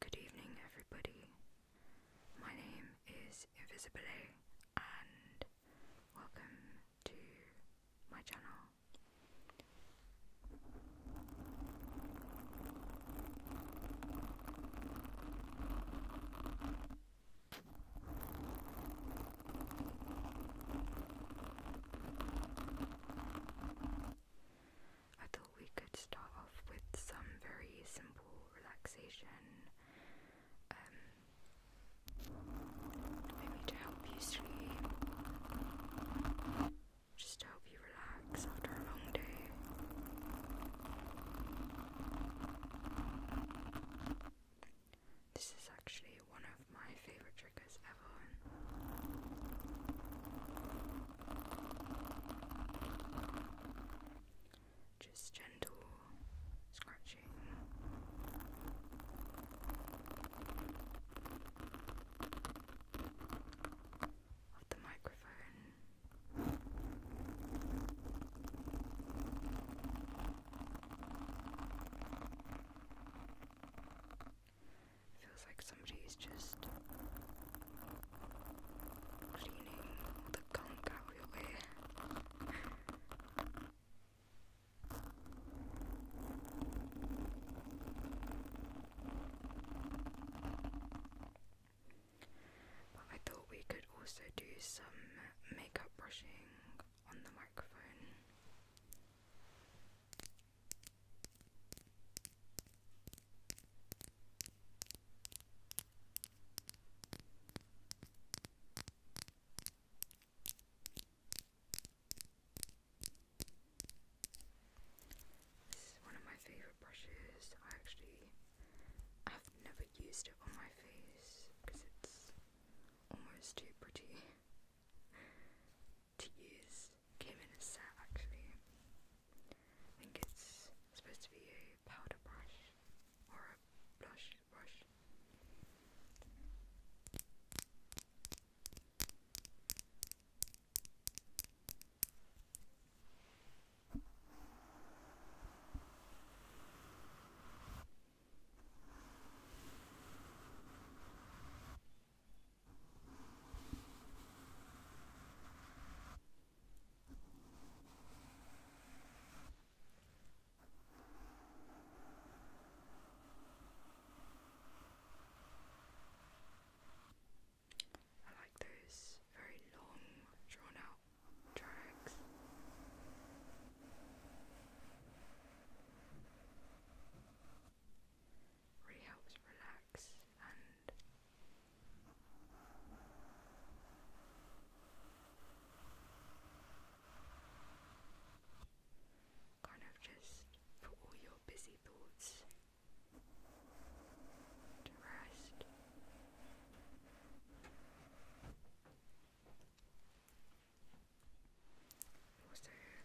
Good evening, everybody. My name is Invisible and welcome to my channel. I thought we could start off with some very simple relaxation, maybe um, to help you sleep, just to help you relax after a long day. This is actually one of my favorite triggers ever. Just gentle scratching. Of the microphone, Feels like somebody's just cleaning the gunk out of your way. I thought we could also do some makeup brushing on the microphone. This one of my favourite brushes. I actually I've never used it on my face because it's almost too pretty to use. Came in a set actually. I think it's supposed to be a powder brush or a blush brush. I like those very long, drawn out Drugs Really helps relax and kind of just for all your busy thoughts rest.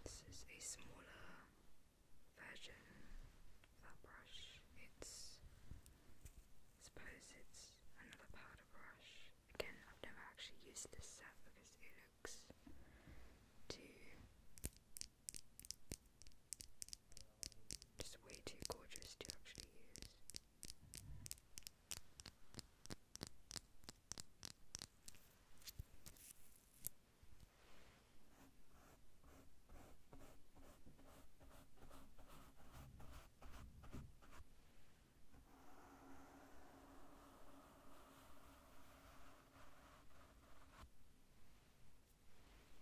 This is a smaller version of that brush. It's suppose it's another powder brush. Again, I've never actually used this set because it looks too just way too gorgeous to actually use.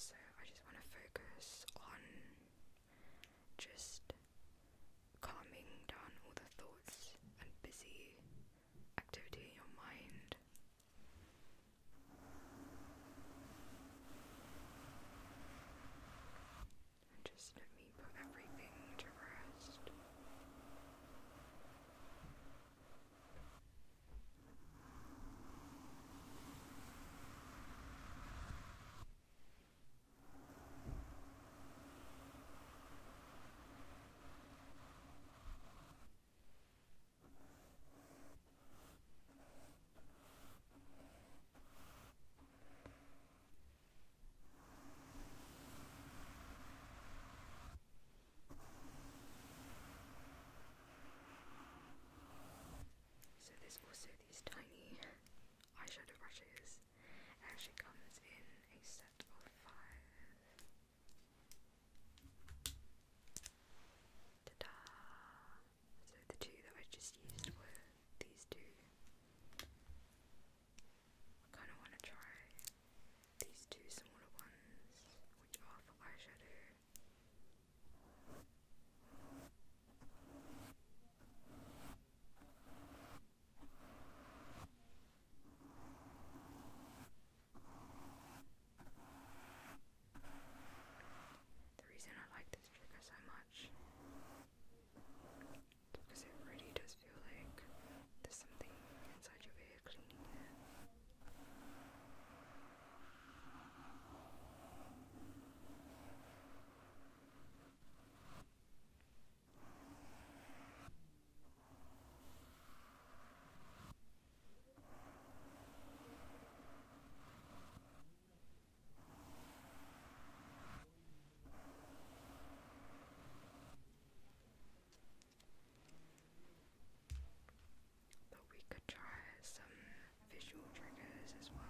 So I just want to focus on just calming down all the thoughts and busy activity in your mind and just let me put everything to rest. So there's also these tiny eyeshadow brushes. It actually comes in a set of five. Ta-da! So the two that I just used were these two. I kind of want to try these two smaller ones, which are for eyeshadow. The reason I like this trigger so much is because it really does feel like there's something inside your ear cleaning but we could try some visual triggers as well.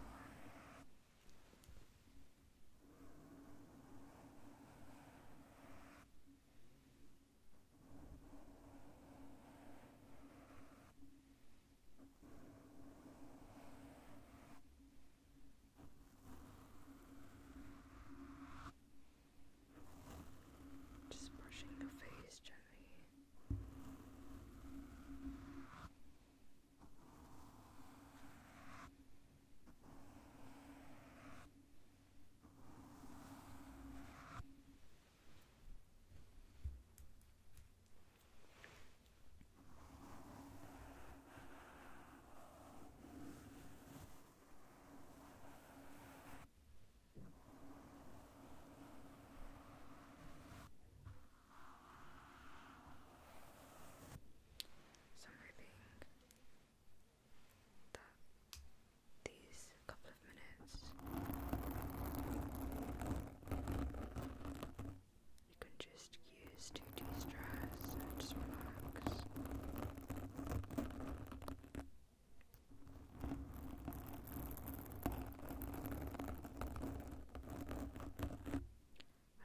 Just brushing your face gently. Just some ripping the these couple of minutes. You can just use to de stress and relax. I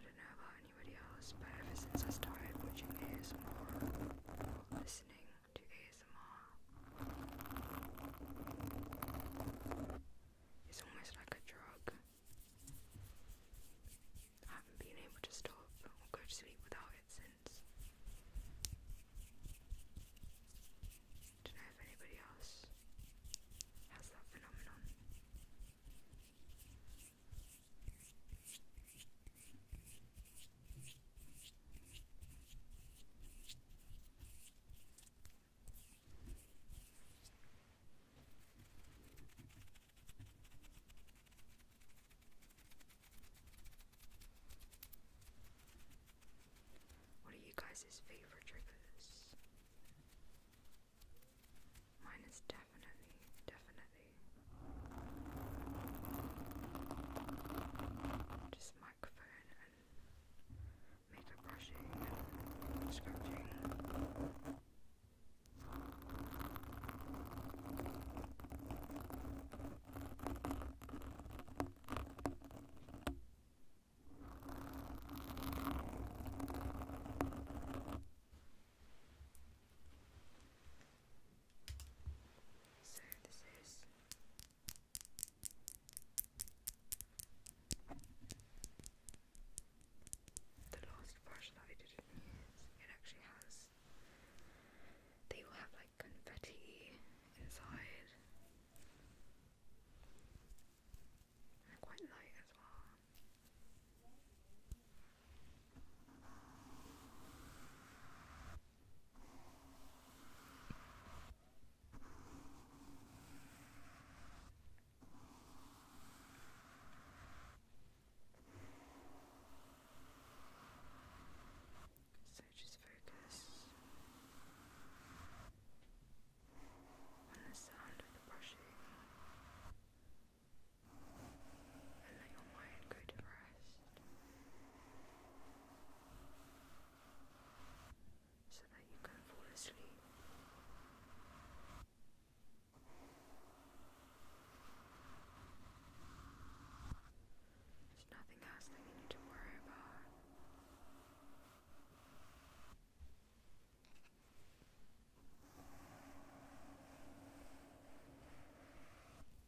don't know about anybody else, but ever since I started watching ASMR more, listening to ASMR. It's almost like a drug. I haven't been able to stop or go to sleep without it since. Don't know anybody else has that phenomenon. What are you guys' favorite triggers? Mine is definitely, definitely just microphone and makeup brushing and scratching. So, this is the last brush I did in these, it actually has. They will have like confetti inside. quite light as well. So just focus on the sound of the brushing and let your mind go to rest so that you can fall asleep. There's nothing else that you need to worry about.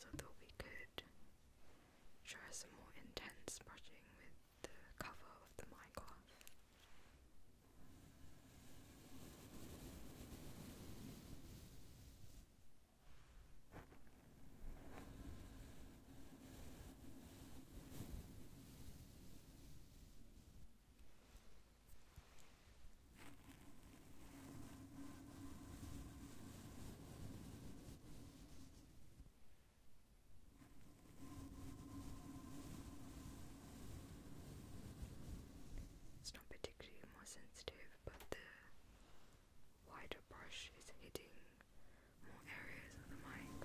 So that we could try some more intense brushing with the cover of the Minecraft. It's not particularly more sensitive, but the wider brush is hitting more areas of the mind.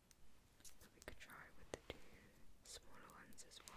So we could try with the two smaller ones as well.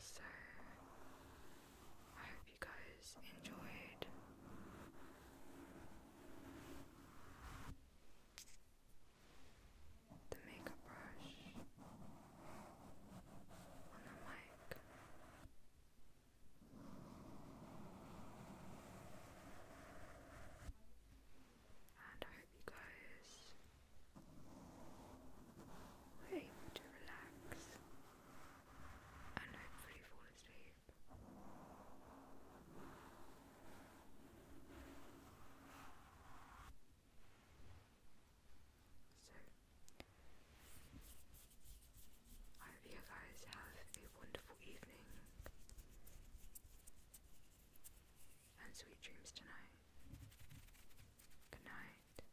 So, I hope you guys enjoyed. The makeup brush on the mic. And I hope you guys were able to relax and hopefully fall asleep. So, I hope you guys have a wonderful evening and sweet dreams tonight. Good night.